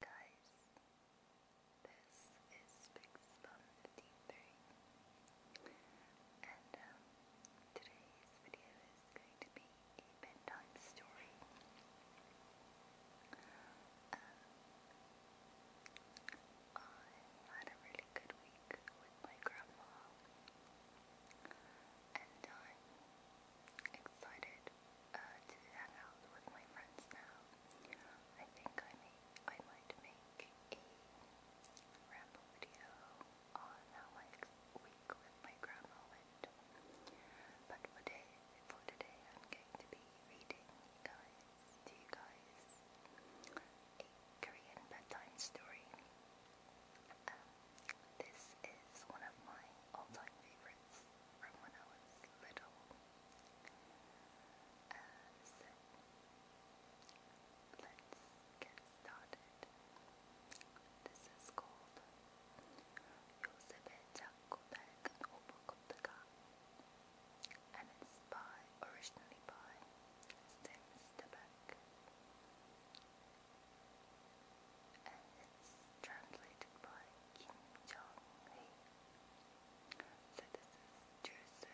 Guys, this is Pixbum53 and um, today's video is going to be a bedtime story. Um, I had a really good week with my grandma and I'm excited uh, to hang out with my friends now. I think I may, I might make a ramble video on how my week with my grandma But for today, for today, I'm going to be reading you guys, to you guys, a Korean bedtime story. Um, this is one of my all-time favorite favorites from when I was little. let's get started. This is called Yosebe Chakobek Obokoptaka and it's by, originally by Sim Stebek and it's translated by Kim Jong-hee so this Joseph.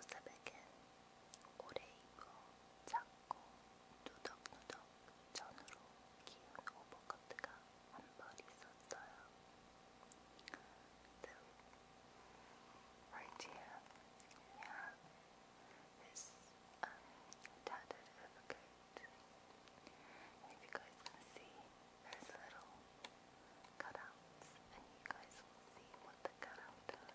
Joseph again. 오래 입어 작고 this um, tattered overcoat. And if you guys can see, there's little cutouts, and you guys will see what the cutout does.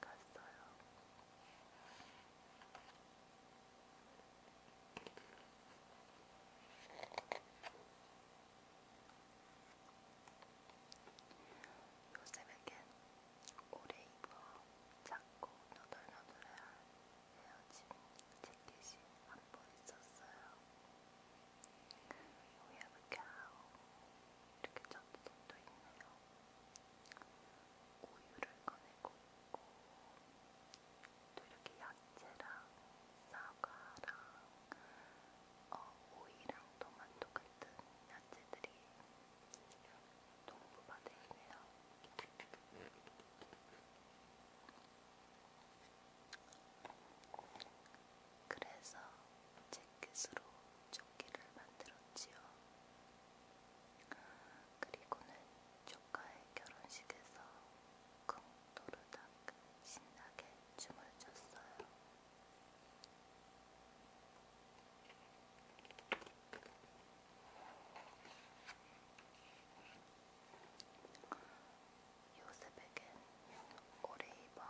갔어요. 요셉에겐 오래 입어 작고 너덜너덜한 헤어짐 재킷이 한벌 있었어요. We have a cow. 이렇게 젖도 있네요. 우유를 꺼내고 있고 또 이렇게 야채랑 사과랑 어, 오이랑 토마토 같은 야채들이 동부바다에 있네요. 그래서 제 햇빛으로 조끼를 만들었지요. 그리고는 조카의 결혼식에서 쿵 도르닥 신나게 춤을 췄어요. 요셉에겐 오레이버,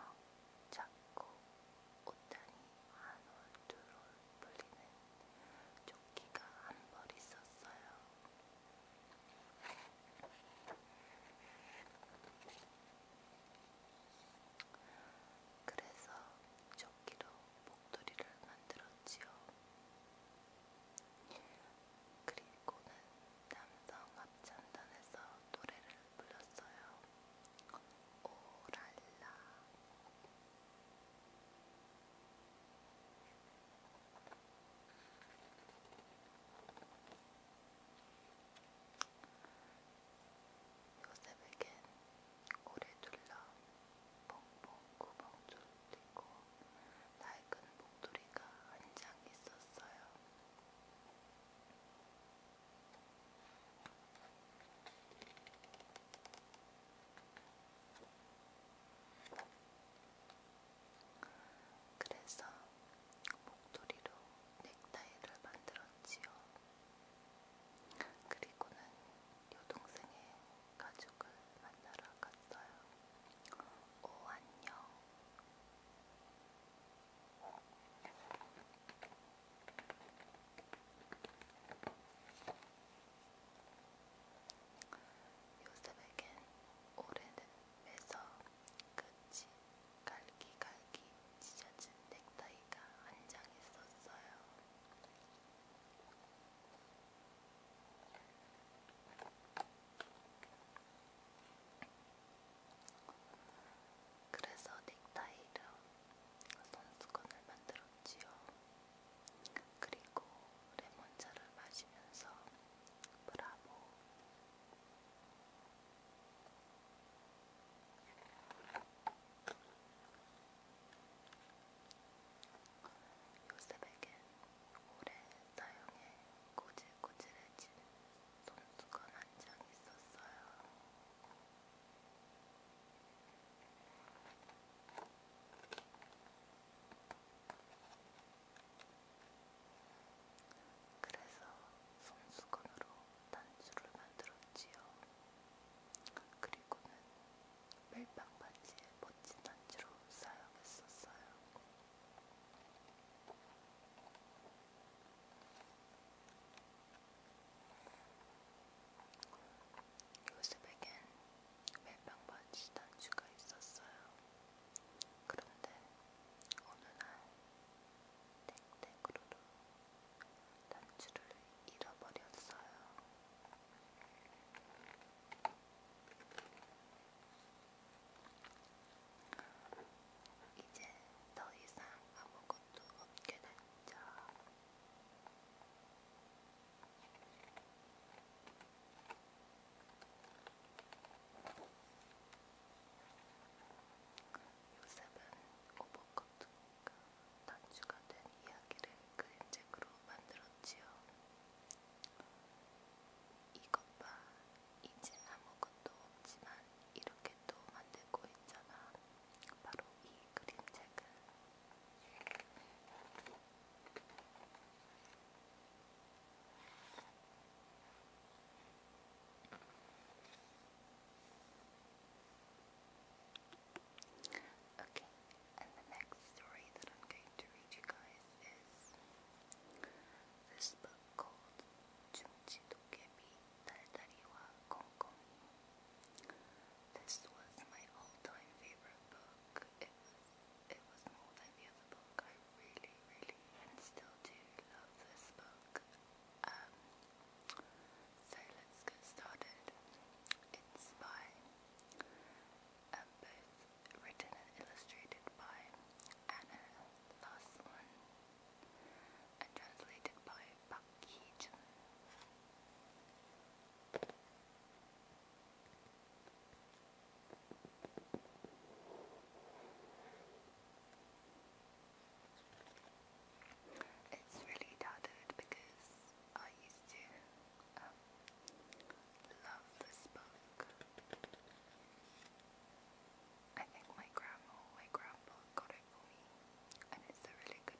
작고 옷단이 한올 두올 불리는 조끼가 한 벌 있었어요. 그래서 조끼로 목도리를 만들었지요. 그리고는 남성 합창단에서 노래를 불렀어요. 오랄라. 요셉에겐 오래 둘러 벙벙 구멍 뚫리고 낡은 목도리가 한 장 있었어요. 그래서 목도리로 넥타이를 만들었지요. 그리고는 여동생의 가족을 만나러 갔어요. 오 안녕. 요셉에겐 오래된 매서 끝이 갈기갈기 찢어진 넥타이가 한 장 있었어요. 그래서 넥타이로 선수건을 만들었지요. 그리고 레몬차를 마시면서 브라보 요셉에겐 오래 사용해 꼬질꼬질해진 손수건 한 장 있었어요. 그래서 손수건으로 단추를 만들었지요. 그리고는 멜빵 바지에 멋진 단추로 사용했었어요. 요셉에겐 멜빵 바지던 주가 있었어요. 그런데 어느 날 땡땡으로도 단추를 잃어버렸어요. 이제 더 이상 아무것도 없게 됐죠. 요셉은 오버컷과 단추가 된 이야기를 그림책으로 만들었지요. 이것 봐, 이제 아무것도 없지만 이렇게 또 만들고 있잖아. 바로 이 그림책은 Okay, and the next story that I'm going to read you guys is this book called Chumchi Dokebi Tadariwa Konkoni. This was my all-time favorite book. It was, it was more than the other book. I really, really, still do love this book. Um, so let's get started. It's by, um, both written and illustrated by Anna Lassman and translated by 박기준 It's really doubted because I used to um, love this book. I think my grandma, my grandpa got it for me, and it's a really good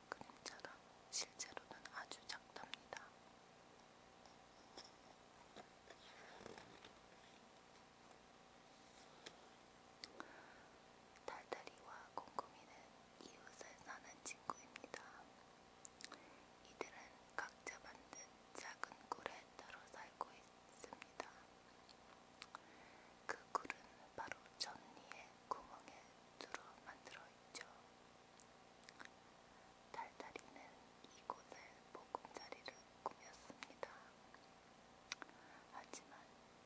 같은 그림처럼 실제로는 아주 작답니다. 달달이와 곰곰이는 이웃에 사는 친구입니다. 이들은 각자 만든 작은 굴에 따로 살고 있습니다. 그 굴은 바로 전니의 구멍에 뚫어 만들어 있죠. 달달이는 이곳을 보금자리를 꾸몄습니다. 하지만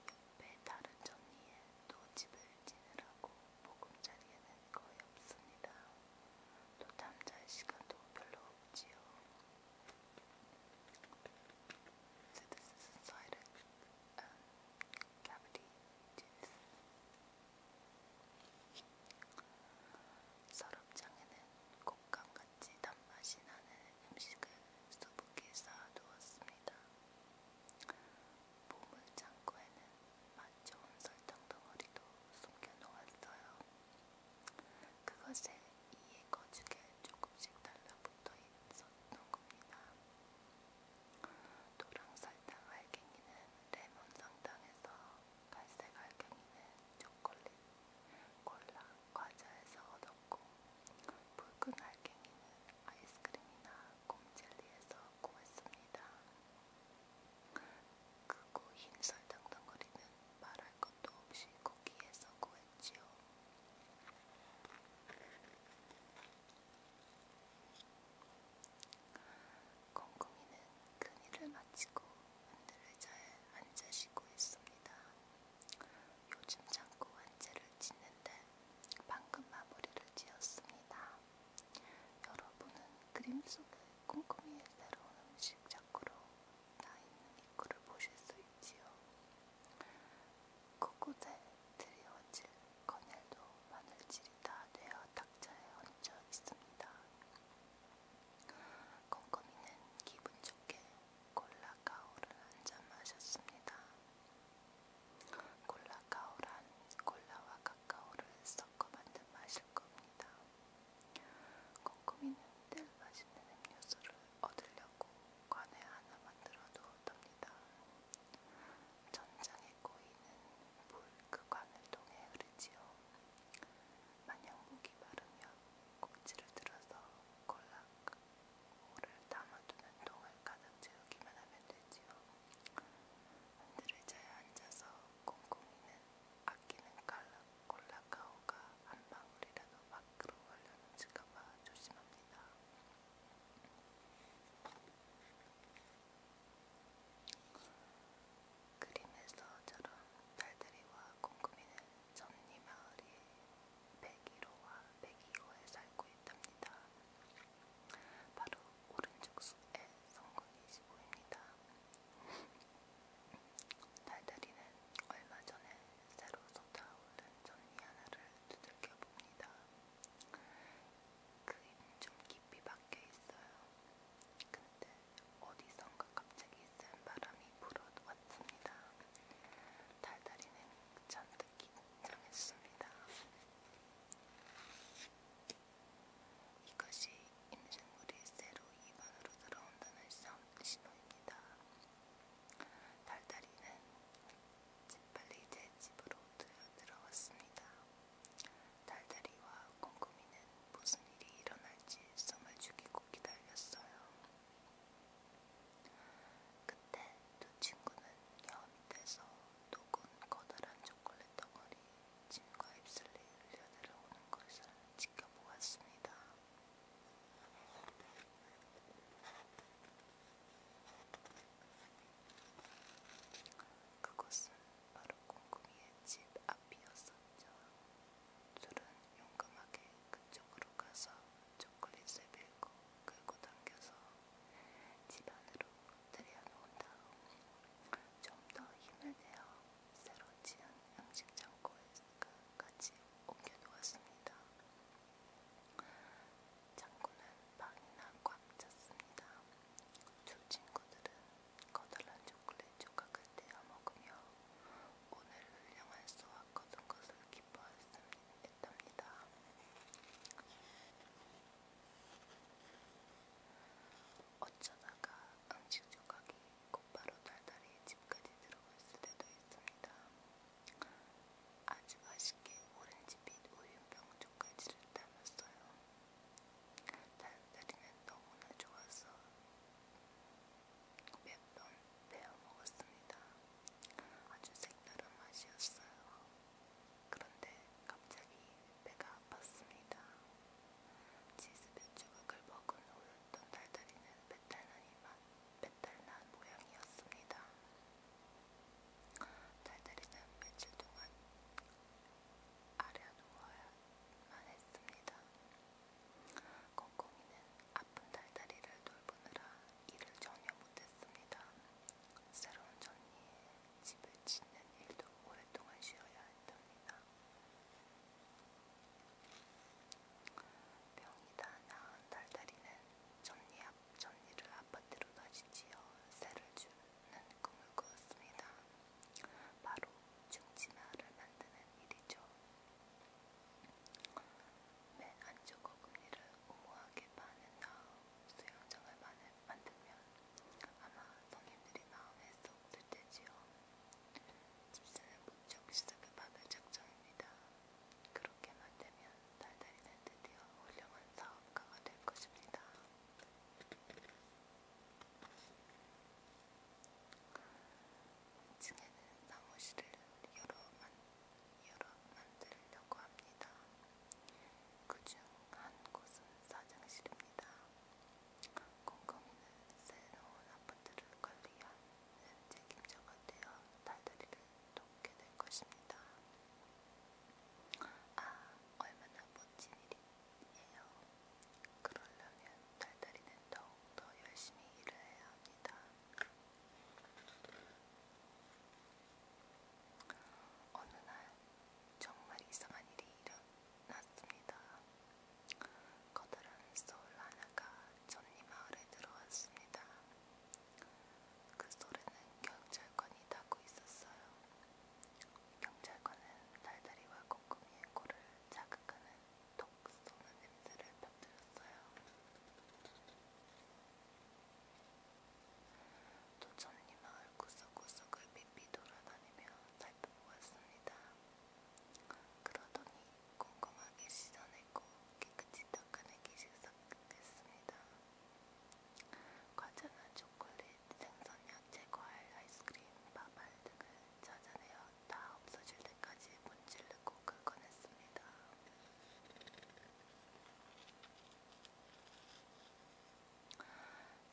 옆에 다른 전리에 또 집을 지느라고 보금자리에는 거의 없습니다. 또 잠잘 시간도 별로 없지요. So this is inside a um, cavity 서랍장에는 곶감같이 단맛이 나는 음식을 수북히 쌓아두었습니다. 보물창고에는 맛좋은 설탕 덩어리도 숨겨놓았어요. 그것에 이에 거죽에 조금씩 달라붙어 있었던 겁니다. 노랑설탕 알갱이는 레몬 설탕에서 갈색 알갱이는 초콜릿, 콜라, 과자에서 얻었고 붉은 알갱이는 아이스크림이나 곰젤리에서 구했습니다. 그고 흰 설탕 덩어리는 말할 것도 없이 고기에서 구했지요. 콩콩이는 큰일을 마치고 흔들 의자에 앉아 쉬고 있습니다. 요즘 자꾸 완제를 짓는데 방금 마무리를 지었습니다. 여러분은 그림 속에 콩콩이의 새로운 음식 자꾸로 나있는 입구를 보실 수 있지요. 코코대 드리워질 꺼내도 마늘질이 다 되어 탁자에 얹혀 있습니다. 껌껌이는 기분 좋게 콜라카오를 한 잔 마셨습니다. 콜라카오란 콜라와 카카오를 섞어 만든 맛일 겁니다. 꼼꼼이는 늘 맛있는 음료수를 얻으려고 관에 하나 만들어 놓았답니다. 전장에 꼬이는 물그관을 통해 흐르지요. 만약 목이 마르면 꼭지를 들어서 골락물을 담아두는 통을 가득 채우기만 하면 되지요. 흔들을 자야 앉아서 꼼꼼히는 아끼는 골락가오가 한 방울이라도 밖으로 흘려놓을까봐 조심합니다. 그림에서처럼 달들이와 콩쿠미는 전니 마을의 101호와 102호에 살고 있답니다. 바로 오른쪽 숲에 성군이 지고입니다. 달달이는 얼마 전에 새로 쏟아오른 전니 하나를 두들겨 봅니다. 그에는 좀 깊이 박혀 있어요. 근데 어디선가 갑자기 센 바람이 불어왔습니다. 달달이 는잔뜩 긴장했습니다. 이것이 임생물이 새로 입안으로 들어온다는 신호입니다. 달달이는 재빨리 제 집으로 들어왔습니다. 달달이와 콩고미는 무슨 일이 일어날지 숨을 죽이고 기다렸어요. 그때 두 친구는 여 밑에서 녹은 커다란 초콜릿 덩어리 침과 입술이 흘려내려오는 것을 지켜보았습니다. 그곳은 바로 곰곰이의 집 앞이었었죠. 둘은 용감하게 그쪽으로 가서 초콜릿을 밀고 끌고 당겨서 집 안으로 들여놓은 다음 좀 더 힘을 내어 새로 지은 음식 창고에 같이 옮겨놓았습니다. 창고는 빵이나 꽉 찼습니다. 두 친구들은 커다란 초콜릿 조각을 떼어 먹으며 오늘 훌륭한 수학 거둔 것을 기뻐했답니다. 어쩌다가 음식 조각이 곧바로 달달이 집까지 들어왔을 때도 있습니다. 아주 맛있게 오렌지빛 우유병 조까지를 담았어요. 사람들이는 너무나 좋아서 몇번 배워 먹었습니다. 아주 색다른 맛이었어요. 그런데 갑자기 배가 아팠습니다. 치즈 몇 조각을 먹은 후였던 달달이는 배탈난 이맛, 배탈난 모양이었습니다. 달달이는 며칠 동안 아려 누워야만 했습니다. 꽁꽁이는 아픈 달다리를 돌보느라 일을 전혀 못했습니다. 새로운 전니에 집을 짓는 일도 오랫동안 쉬어야 했답니다. 병이 다 나은 달다리는 전니 앞 전니를 아파트로 다시 지어 새를 준 없는 꿈을 꾸었습니다. 바로 중진화를 만드는 일이죠. 맨 안쪽 어금니를 우모하게 파는 다음 수영장을 만들면 아마 성인들이 마음에 쏙 들테지요. 집사는 무척 시작을 받을 작정입니다. 그렇게만 되면 달달이는 드디어 훌륭한 사업가가 될 것입니다. 층에는 사무실을 여러 만, 여러 만들려고 합니다. 그 중 한 곳은 사장실입니다. 꼼꼼이는 새로운 아파트를 관리하는 책임자가 되어 달달이를 돕게 될 것입니다. 아, 얼마나 멋진 일인지 예요. 그러려면 달달이는 더욱더 열심히 일을 해야 합니다. 어느 날 정말 이상한 일이 일어났습니다. 커다란 솔 하나가 전리 마을에 들어왔습니다. 그 소리는 경찰관이 타고 있었어요. 경찰관은 달달이와 꼼꼼이의 코를 자극하는 독 쏘는 냄새를 퍼뜨렸어요. 도천리 마을 구석구석을 삐삐 돌아다니며 살펴보았습니다. 그러더니 꼼꼼하게 씻어내고 깨끗이 닦아내기 시작했습니다. 과자나 초콜릿, 생선향 제거할 아이스크림, 밥알 등을 찾아내어 다 없어질 때까지 문지르고 긁어냈습니다.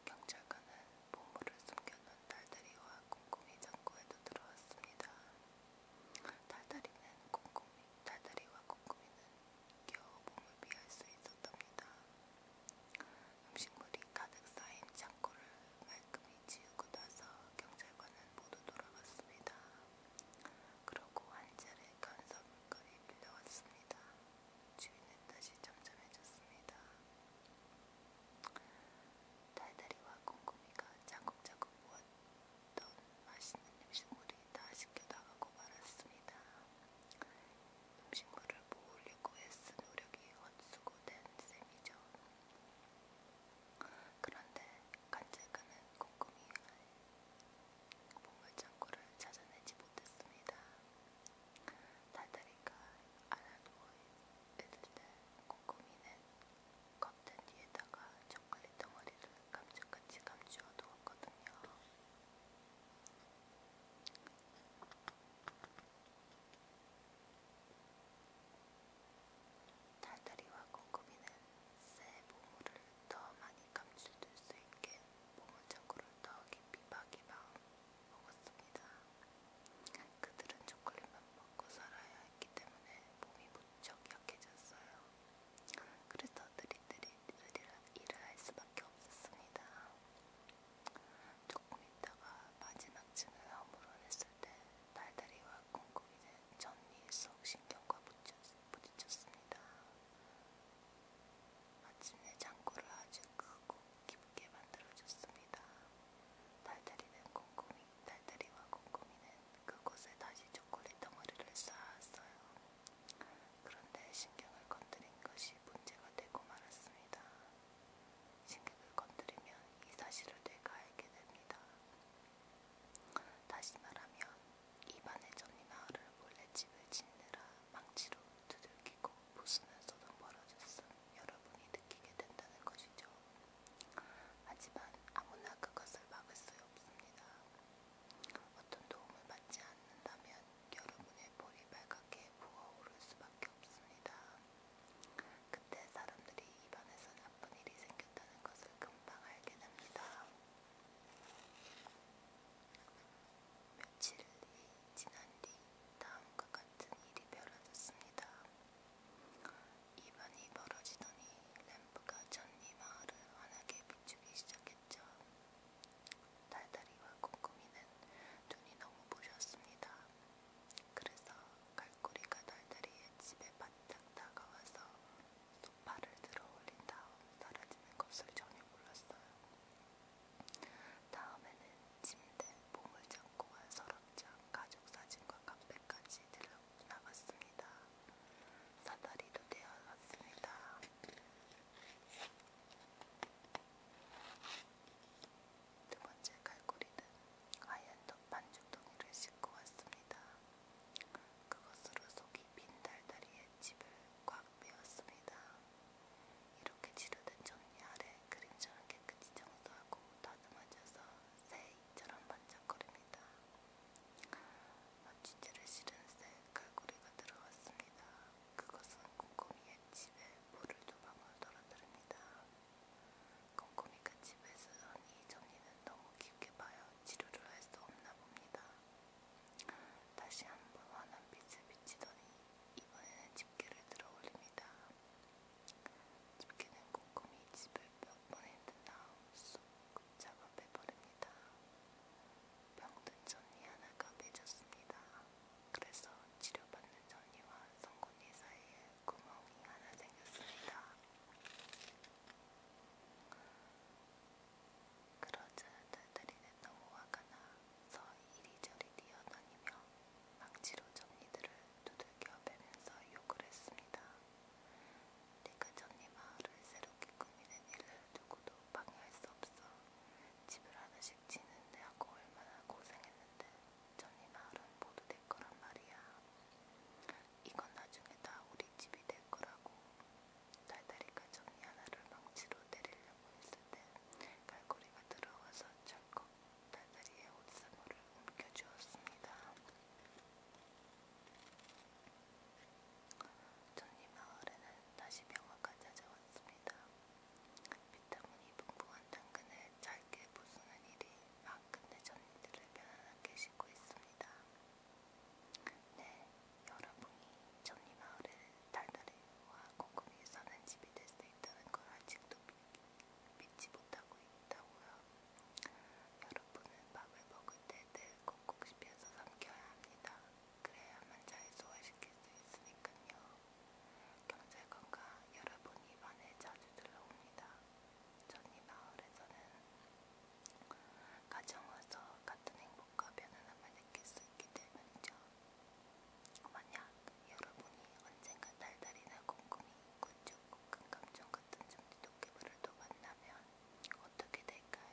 경찰관은 보물을 숨겨놓은 달달이와 꼼꼼이 창고에도 들어왔습니다. 달달이는 꼼꼼이, 달달이와 꼼꼼이는 겨우 몸을 피할 수 있었답니다. 음식물이 가득 쌓인 창고를 말끔히 치우고 나서 경찰관은 모두 돌아갔습니다. 그러고 한 차례 간사물건이 빌려왔습니다. 주인은 다시 점점해졌습니다. 달달이와 곰곰이가 자국자국 모았던 맛있는 음식물이 다 시켜나가고 말았습니다. 식물을 모으려고 애쓴 노력이 헛수고된 셈이죠. 그런데 간제가는 꼼꼼히 보물창고를 찾아내지 못했습니다. 달달이가 알아보이 뜯을 때 꼼꼼히 낸 컵텐 뒤에다가 초콜릿 덩어리를 감쪽같이 감추어 두었거든요. 달다리와 콩고비는 새 보물을 더 많이 감출줄 수 있게 보물창고를 더 깊이 박이박 먹었습니다. 그들은 초콜릿만 먹고 살아야 했기 때문에 몸이 무척 약해졌어요. 그래서 들이들이 일을 할 수밖에 없었습니다. 조금 있다가 마지막쯤에 아무런 했을 때 달다리와 콩콩이는 전리 속 신경과 부딪혔습니다. 마침내 창고를 아주 크고 깊게 만들어줬습니다. 달다리는 콩콩이, 달다리와 콩콩이는 그곳에 다시 초콜릿 덩어리를 쌓았어요. 그런데 신경을 건드린 것이 문제가 되고 말았습니다. 신경을 건드리면 이 사실을 내가 알게 됩니다. 다시 말하면 입안의 전이마을을 몰래 집을 짓느라 망치로 두들기고 부수면서도 벌어졌음 여러분이 느끼게 된다는 것이죠. 하지만 아무나 그것을 막을 수 없습니다. 어떤 도움을 받지 않는다면 여러분의 볼이 빨갛게 부어오를 수밖에 없습니다. 그때 사람들이 입안에서 나쁜 일이 생겼다는 것을 금방 알게 됩니다. 며칠이 지난 뒤 다음과 같은 일이 벌어졌습니다. 입안이 벌어지더니 램프가 전이 마을을 환하게 비추기 시작했죠. 달달이와 꼼꼼이는 눈이 너무 부셨습니다. 그래서 갈고리가 달달이의 집에 바짝 다가와서 소파를 들어 올린 다음 사라지는 것을 전혀 몰랐어요. 다음에는 침대, 몸을 잡고와 서랍장, 가족 사진과 카페까지 들러 나갔습니다. 사다리도 되어갔습니다. 두 번째 갈고리는 하얀 덮반죽덩이를 싣고 왔습니다. 그것으로 속이 빈 달다리에 집을 꽉 메웠습니다. 이렇게 치료된 전이 아래 그림자는 깨끗이 청소하고 다듬어져서 새 입처럼 반짝거립니다. 마취제를 아, 실은 새 갈고리가 들어왔습니다. 그것은 꼼꼼이의 집에 물을 두 방울 떨어뜨립니다. 꼼꼼이가 집에서 한이 정리는 너무 깊게 봐야 치료를 할 수 없나 봅니다. 다시 한번 환한 빛을 비치더니 이번에는 집게를 들어 올립니다. 집게는 꼼꼼히 집을 몇번 했든 나쏙 잡아 빼버립니다. 병든 천리 하나가 맺었습니다. 그래서 치료받는 전이와 성곤이 사이에 구멍이 하나 생겼습니다. 그러자 달달이는 너무 화가 나서 이리저리 뛰어다니며 망치로 점니들을 두들겨 매면서 욕을 했습니다. 네가 전니 마을을 새롭게 꾸미는 일을 누구도 방해할 수 없어. 집을 하나씩 짓는데 하고 얼마나 고생했는데 전리 마을은 모두 내 거란 말이야. 이건 나중에 다 우리 집이 될 거라고. 달달이가 전리 하나를 망치로 때리려고 했을 때 갈고리가 들어와서 철컥 달달이의 옷사물을 옮겨주었습니다. 전리 마을에는 다시 명화가 찾아왔습니다. 비타민이 풍부한 당근을 짧게 부수는 일이 막근대 전민들을 편안하게 쉬고 있습니다. 네, 여러분이 전리마을을 달달이와 고금이 사는 집이 될 수 있다는 걸 아직도 믿, 믿지 못하고 있다고요. 여러분은 밥을 먹을 때늘 꼭꼭 씹혀서 삼켜야 합니다. 그래야만 잘 소화시킬 수 있으니까요. 경찰관과 여러분이 반에 자주 들러옵니다. 전 이 마을에서는 가정에서 같은 행복과 편안함을 느낄 수 있기 때문이죠. 만약 여러분이 언젠가 달달이나 곰곰이, 구축, 금감종 같은 좀비 도깨비를 또 만나면 어떻게 될까요?